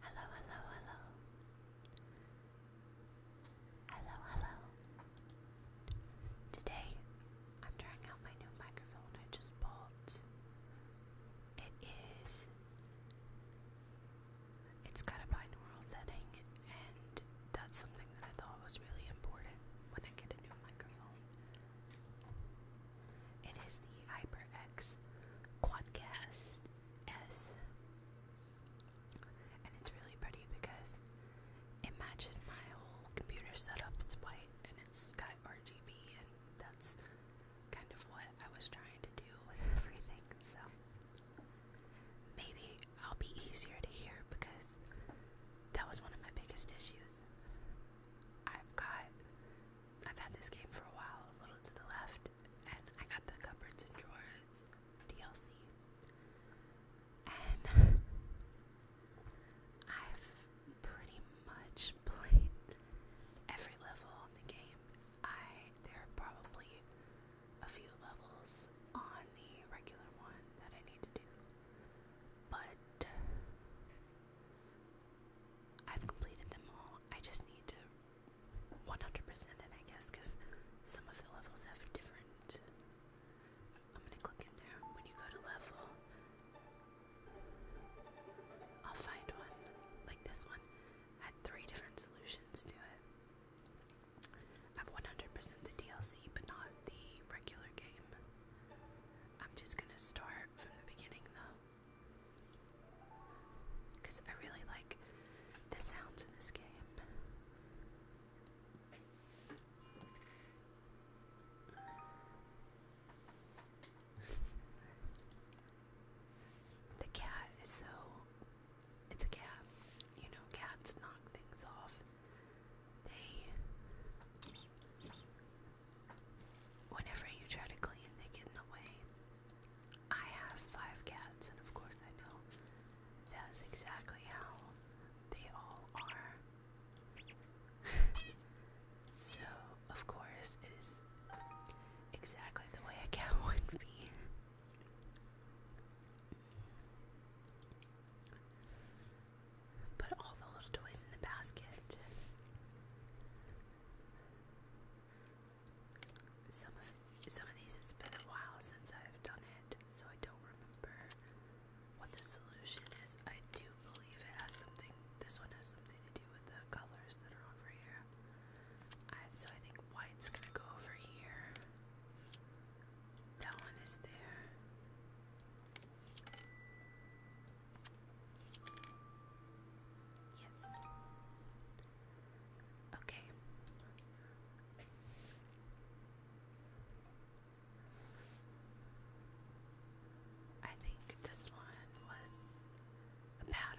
Hello, hello, hello. Hello, hello. Today I'm trying out my new microphone I just bought. It is it's got a binaural setting and that's something that I thought was really important when I get a new microphone. It is the HyperX Quadcast S. And it's really pretty because it matches my whole computer setup. It's white and it's got RGB, and that's kind of what I was trying to do with everything. So maybe I'll be easier to hear because that was one of my biggest issues. I've got I've had this game for a while, a little to the left, and I got the cupboards and drawers DLC. And I've pretty much played every level in the game. I there are probably a few levels on the regular one that I need to do, but I've completed them all. I just need to 100% it, I guess, because some of the levels have different. I'm gonna click in there. When you go to level, I'll find one. Like this one had three different solutions to it. I've 100% the DLC, but not the regular game. I'm just gonna start from the beginning though. Because I really like the sounds in this game. the cat is so. It's a cat. You know, cats knock things off. They. Whenever you try to clean, they get in the way. I have five cats, and of course I know that's exactly how they all are. so, of course, it is exactly the way a cat would be. Put all the little toys in the basket. Some of some of these it's been a while since I've done it, so I don't remember what the solution is. I do believe it has something this one has something to do with the colors that are over here. so I think white's gonna go over here. That one is there. Yes. Okay. I think this one was a pattern.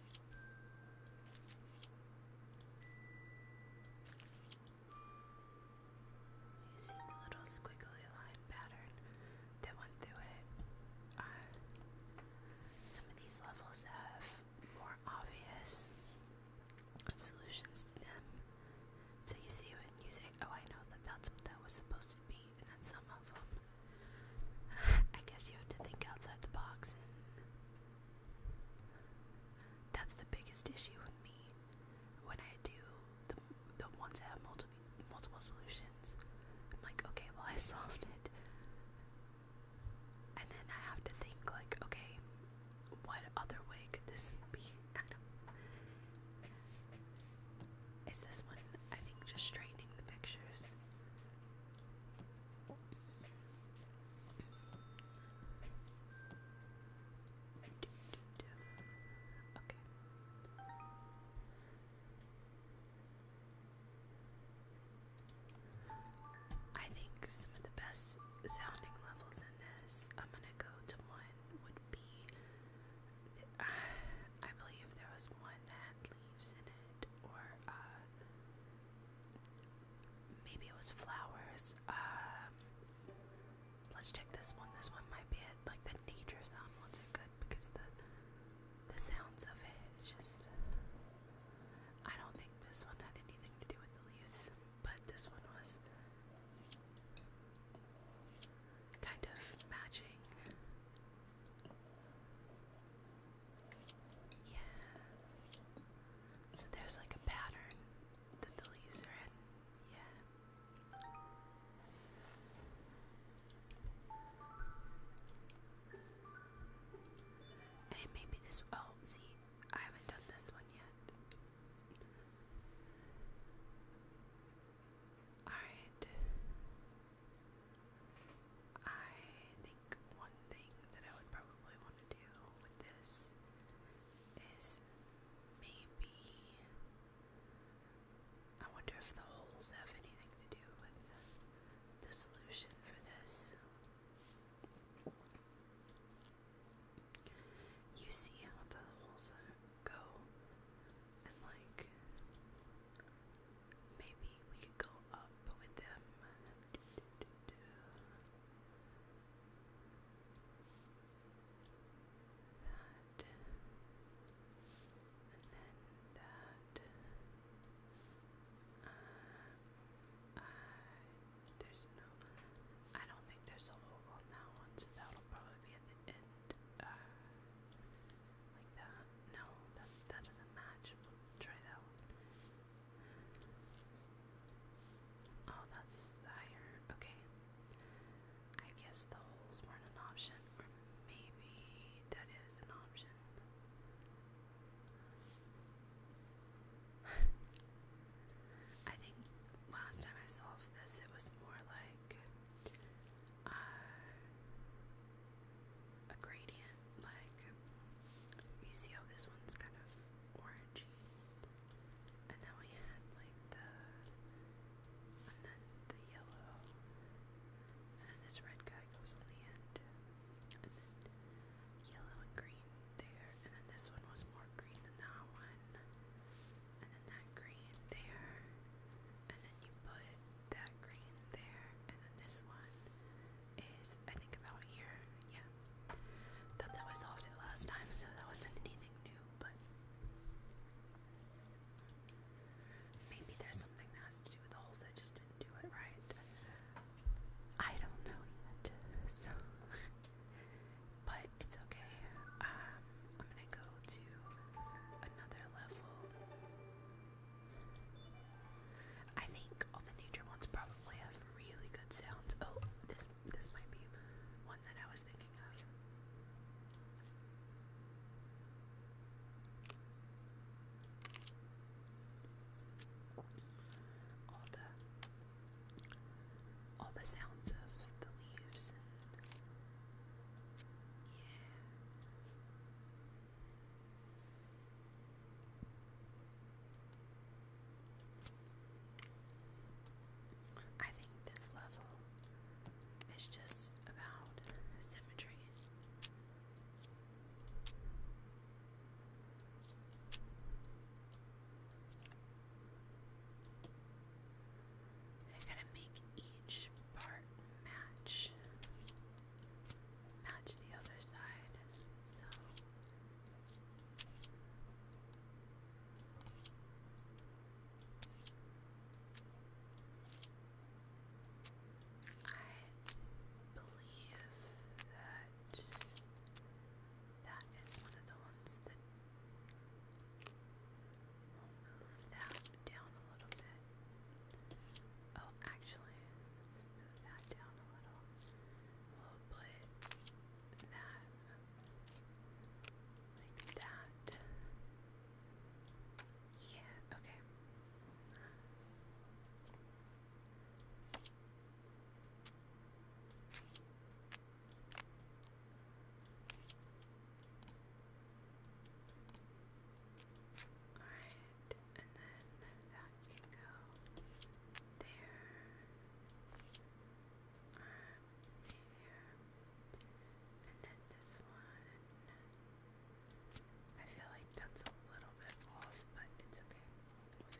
You see the little squiggly line pattern that went through it? some of these levels have more obvious solutions to them. So you see when you say, oh I know that that's what that was supposed to be, and then some of them, I guess you have to think outside the box, and that's the biggest issue with me. When I do the the ones that have multiple multiple solutions, I'm like, okay, well I solved it, and then I have to think like, okay, what other way could this be? I do Is this one? I think just straightening the pictures. I think some of the best sounding levels in this, I'm gonna go to one, would be. I believe there was one that leaves in it, or uh, maybe it was flowers. Um, let's check this one. This one might be it. Like the nature sound ones are good because the the sounds of it. It's just. I don't think this one had anything to do with the leaves, but this one was kind of matching yeah. So there's like a pattern that the leaves are in. Yeah. And it may be this oh, see, I haven't done this one yet. Alright. I think one thing that I would probably want to do with this is maybe. I wonder if the holes have anything to do with the solution for this. You see how the holes go and like maybe we could go up with them. That and then that. Uh, uh, there's no. I don't think there's a hole on that one, so that'll probably be at the end like that. No, that that doesn't match. try that one. Oh, that's higher. Okay. I guess the holes weren't an option, maybe that is an option. I think last time I solved this, it was more like uh, a gradient. Like, you see how this one's kind of orangey? And then we had like the. and then the yellow. And then this red guy goes on the end. yellow and green there. And then this one was more green than that one and then that green there, and then you put that green there, and then this one is, I think, about here. Yeah. That's how I solved it last time, so that wasn't anything new, but maybe there's something that has to do with the holes, I just didn't do it right. I don't know yet, so But it's okay. Um, I'm gonna go to another level. I think all the nature ones probably have really good sounds. Oh, this this might be one that I was thinking of. All the all the sounds of the leaves and yeah. I think this level is just about symmetry. I gotta make each part match match the other side. So I believe that that is one of the ones that move that down a little bit. Oh, actually, move that down a little. We'll put that like that. Yeah, okay. Alright, and then that can go there. Um, here. And then this one. I feel like that's a little bit off, but it's okay.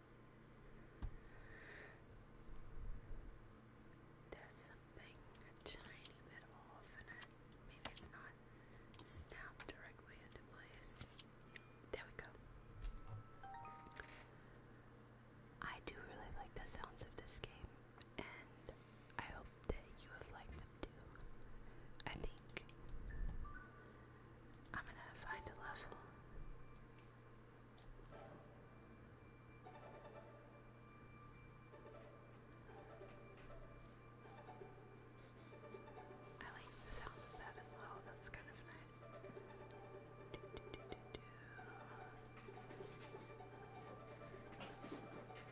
There's something a tiny bit off in it. Maybe it's not snapped directly into place. There we go. I do really like the sounds of this game, and I hope that you have liked them too. I think I'm gonna find a level. I like the sound of that as well, that's kind of nice.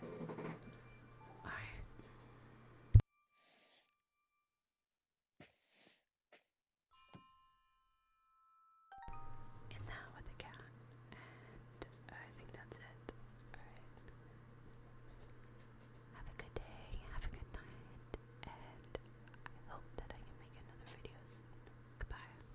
Do, and now with the cat, and I think that's it. Alright. Have a good day, have a good night, and I hope that I can make another video Goodbye.